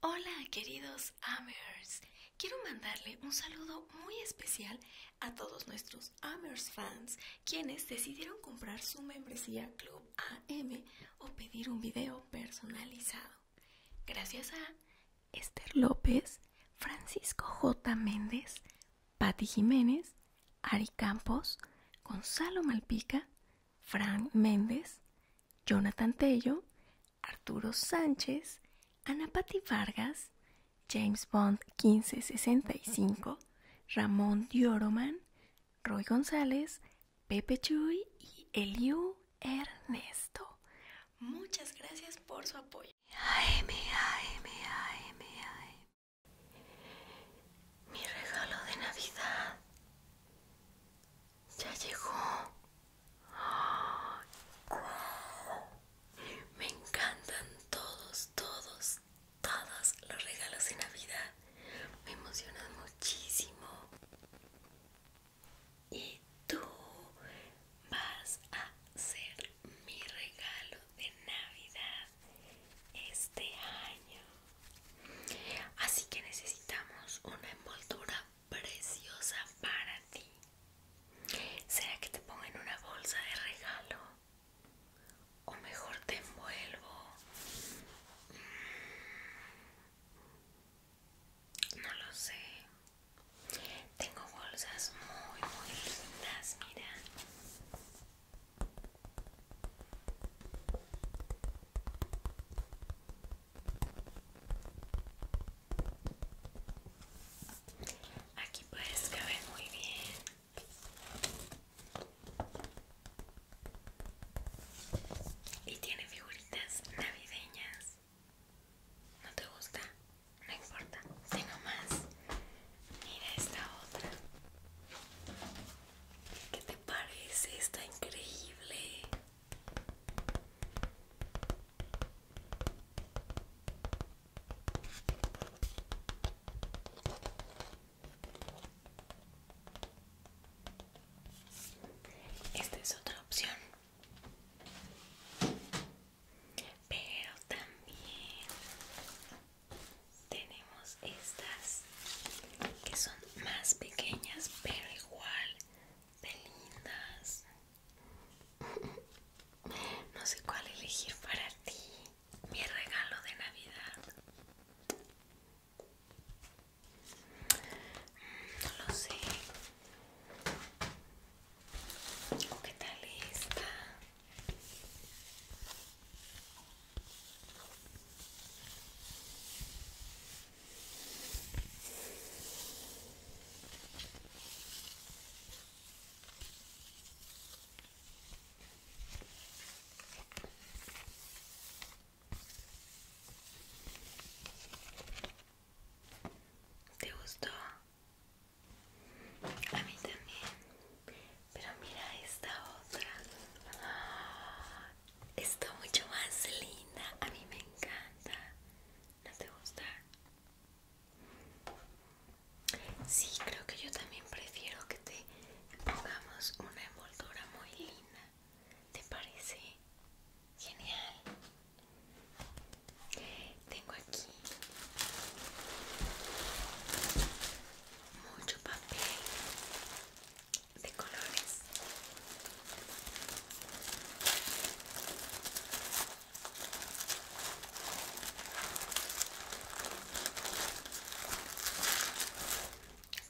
Hola queridos Amers, quiero mandarle un saludo muy especial a todos nuestros Amers fans quienes decidieron comprar su membresía Club AM o pedir un video personalizado. Gracias a Esther López, Francisco J. Méndez, Patti Jiménez, Ari Campos, Gonzalo Malpica, Frank Méndez, Jonathan Tello, Arturo Sánchez, Ana Patti Vargas, James Bond 1565, Ramón Dioroman, Roy González, Pepe Chuy y Eliu Ernesto. Muchas gracias por su apoyo. Mi regalo de Navidad ya llegó. Me encantan todos, todos, todos los regalos de Navidad. Me emocionan muchísimo. Y tú vas a ser mi regalo de Navidad este año. Así que necesitamos una envoltura preciosa para ti. ¿Será que te pongo en una bolsa de regalo? O mejor te envuelvo. Mm, no lo sé. Tengo bolsas muy, muy lindas, mira. Aquí puedes caber muy bien. Y tiene figuritas navideñas. ¿No te gusta? No importa. sino más. Mira esta otra. ¿Qué te parece? Está increíble. Esta es otra opción. Pero también tenemos estas que son más pequeñas pero igual de lindas no sé cuál elegir para ti mi regalo de navidad mm, no lo sé qué tal esta ¿Te gustó? A mí también. Pero mira esta otra. Ah, está mucho más linda. A mí me encanta. ¿No te gusta? Sí, creo que yo también prefiero que te pongamos una envoltura muy linda. ¿Te parece? Genial. Tengo aquí mucho papel de colores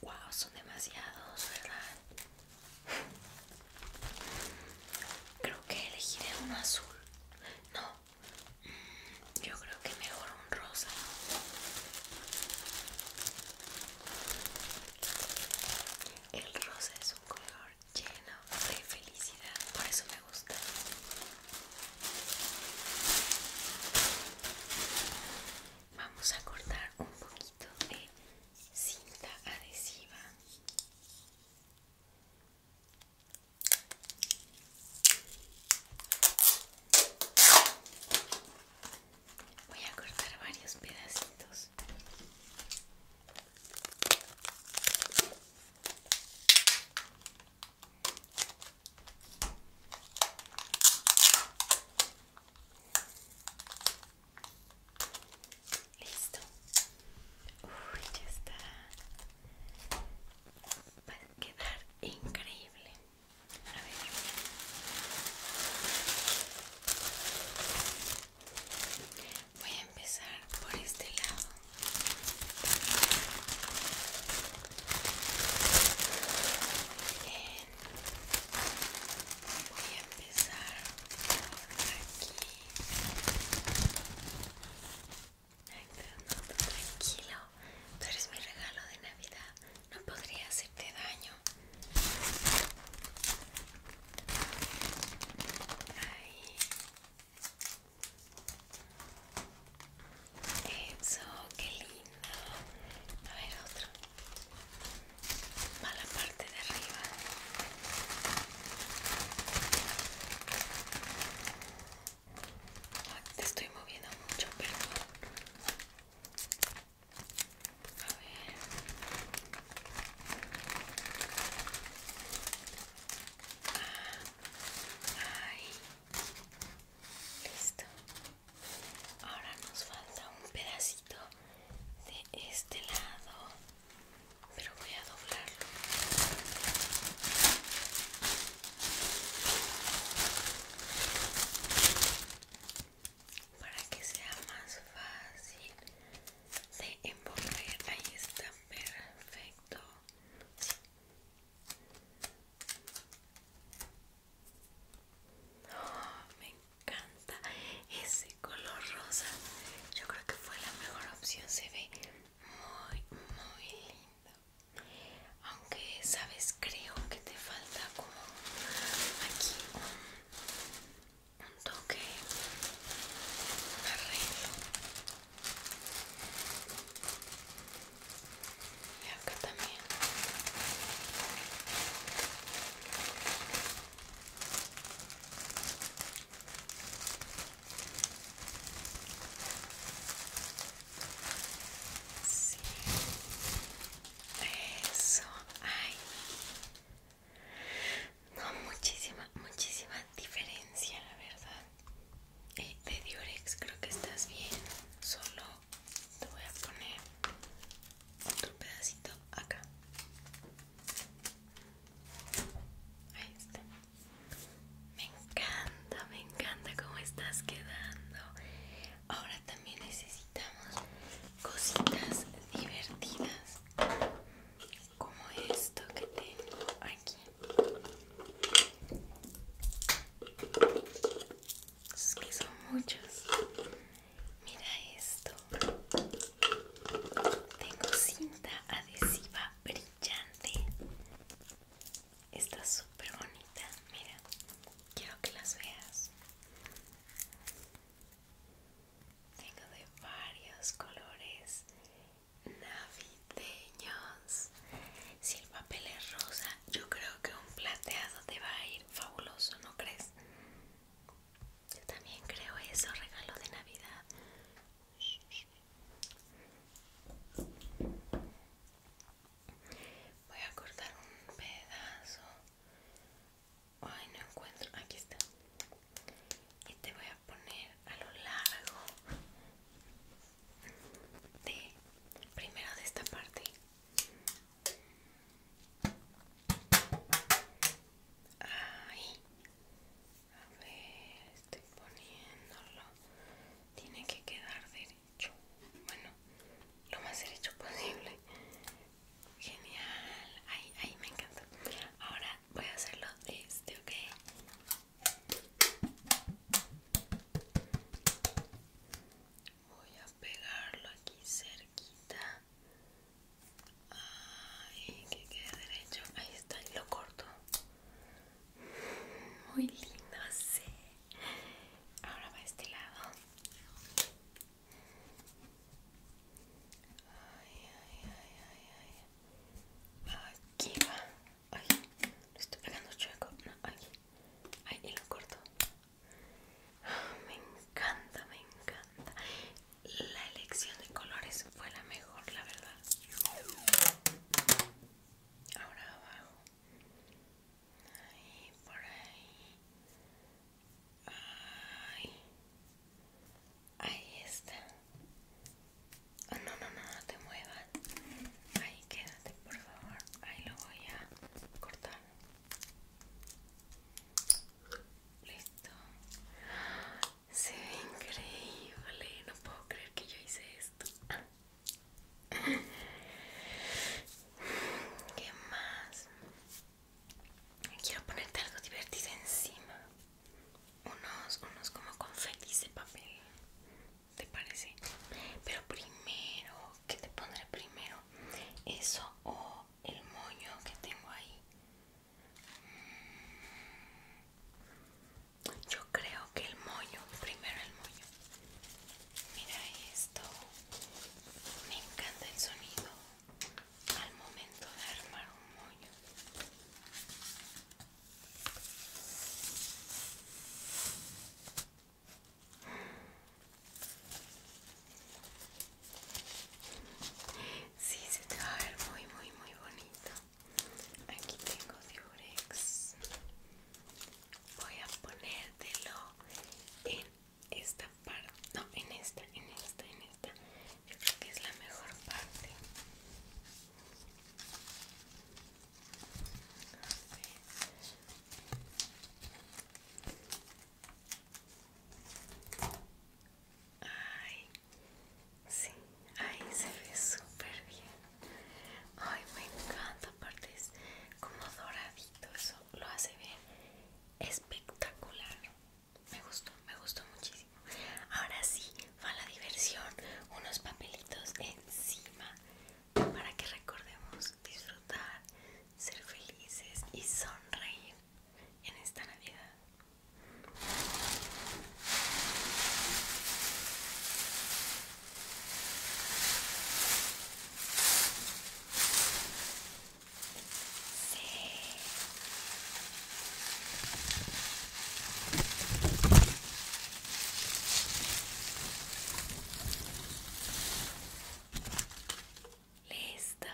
wow son demasiados verdad creo que elegiré un azul no yo creo que mejor un rosa. El rosa es un color lleno de felicidad, por eso me gusta. Vamos a cortar un poquito de cinta adhesiva Voy a cortar varios pedacitos. Listo. Uy, ya está va a quedar increíble voy a empezar por este lado voy a empezar por aquí tranquilo. Tú eres mi regalo de Navidad. No podría hacerte daño. Eso, qué lindo. A ver, otro. Va la parte de arriba te estoy moviendo mucho, pero. Ah, Listo. Ahora nos falta un pedacito de este lado pero voy a doblarlo para que sea más fácil de envolver ahí está perfecto oh, me encanta ese color rosa yo creo que fue la mejor opción se ve muy muy lindo aunque sabes creo que te falta como aquí un, un toque un arreglo y acá también Sí. Eso, ay. No, muchísima, muchísima diferencia, la verdad. Eh, de Diorex creo que estás bien. Solo te voy a poner otro pedacito acá. Me encanta, me encanta cómo estás quedando. Ahora también necesitamos cositas divertidas como esto que tengo aquí. Es que son muchos. Mira esto. Tengo cinta adhesiva brillante. Está súper bonita. Mira, quiero que las veas. Tengo de varios colores navideños. Si el papel es rosa, yo creo que un plateado te va a ir fabuloso, ¿no crees? Yo también creo eso, regalo de Navidad. Voy a cortar un pedazo. Ay, no encuentro. Aquí está. Y te voy a poner a lo largo de primero de esta parte. A ver, estoy poniéndolo. Tiene que quedar derecho. Bueno, lo más derecho posible. Genial. Ahí, ahí me encanta. Ahora voy a hacerlo este, ¿ok? Voy a pegarlo aquí cerquita Ay, que quede derecho. Ahí está, y lo corto. Muy lindo, sí. Ahora va a este lado. Ay, ay, ay, ay, ay. Aquí va. Ay, lo estoy pegando chueco. No, aquí. Ay, y lo corto. Ah, me encanta, me encanta la elección de colores fue la mejor, la verdad. Ahora abajo. Ahí, por ahí. Ahí. Ahí está. Ah, no, no, no, no te muevas. Ahí quédate, por favor. Ahí lo voy a cortar. Listo. Se ve increíble. No puedo creer que yo hice esto. ¿Qué más? Quiero ponerte algo divertido encima. Unos, unos como confetis de papel. ¿Te parece? Pero primero, ¿qué te pondré primero? Eso o el moño que tengo ahí. Mm, yo creo que el moño, primero el moño. Mira esto. Me encanta el sonido al momento de armar un moño. Sí, se te va a ver muy, muy, muy bonito. Aquí tengo diurex. Voy a ponértelo en esta parte. No, en esta, en esta, en esta. Yo creo que es la mejor parte. Ay, sí, ahí se ve súper bien. Ay, me encanta, aparte es como doradito, eso lo hace bien espectacular. Me gustó, me gustó muchísimo. Ahora sí, va la diversión, unos papelitos encima para que recordemos disfrutar, ser felices y sonreír en esta Navidad. Listo.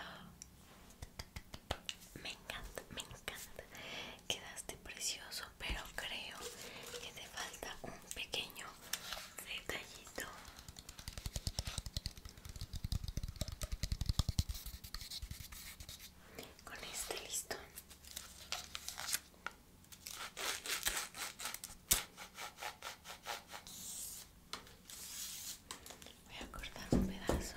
Me encanta, me encanta. Quedaste precioso, pero creo que te falta un pequeño detallito. Con este listo. Voy a cortar un pedazo.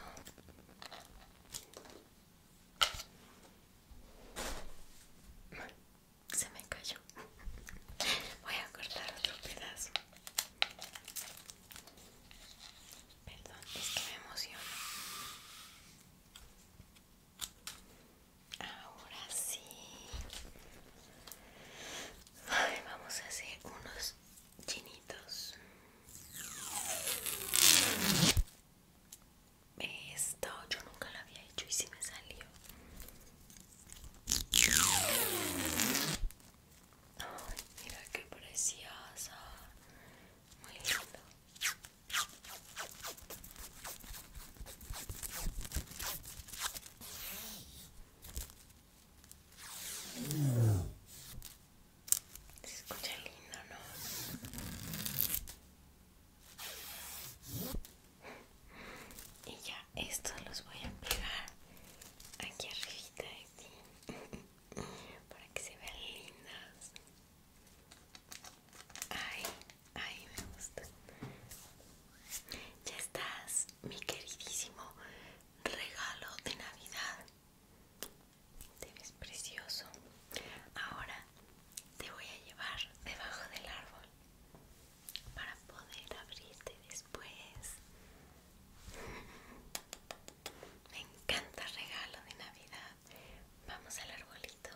Se me cayó. Voy a cortar otro pedazo. Perdón, es que me emociono. Ahora sí. vamos a hacer unos chinitos. Esto yo nunca lo había hecho y si me salió. mira qué preciosa. Muy lindo. Se escucha lindo, ¿no? Y ya estos los voy a pegar aquí arribita de ti para que se vean lindos. Ay, Ahí me gusta. Ya estás, mi queridísimo regalo de Navidad. Te ves precioso. Ahora te voy a llevar debajo del árbol para poder abrirte después. Me encanta regalo de Navidad. Vamos al arbolito.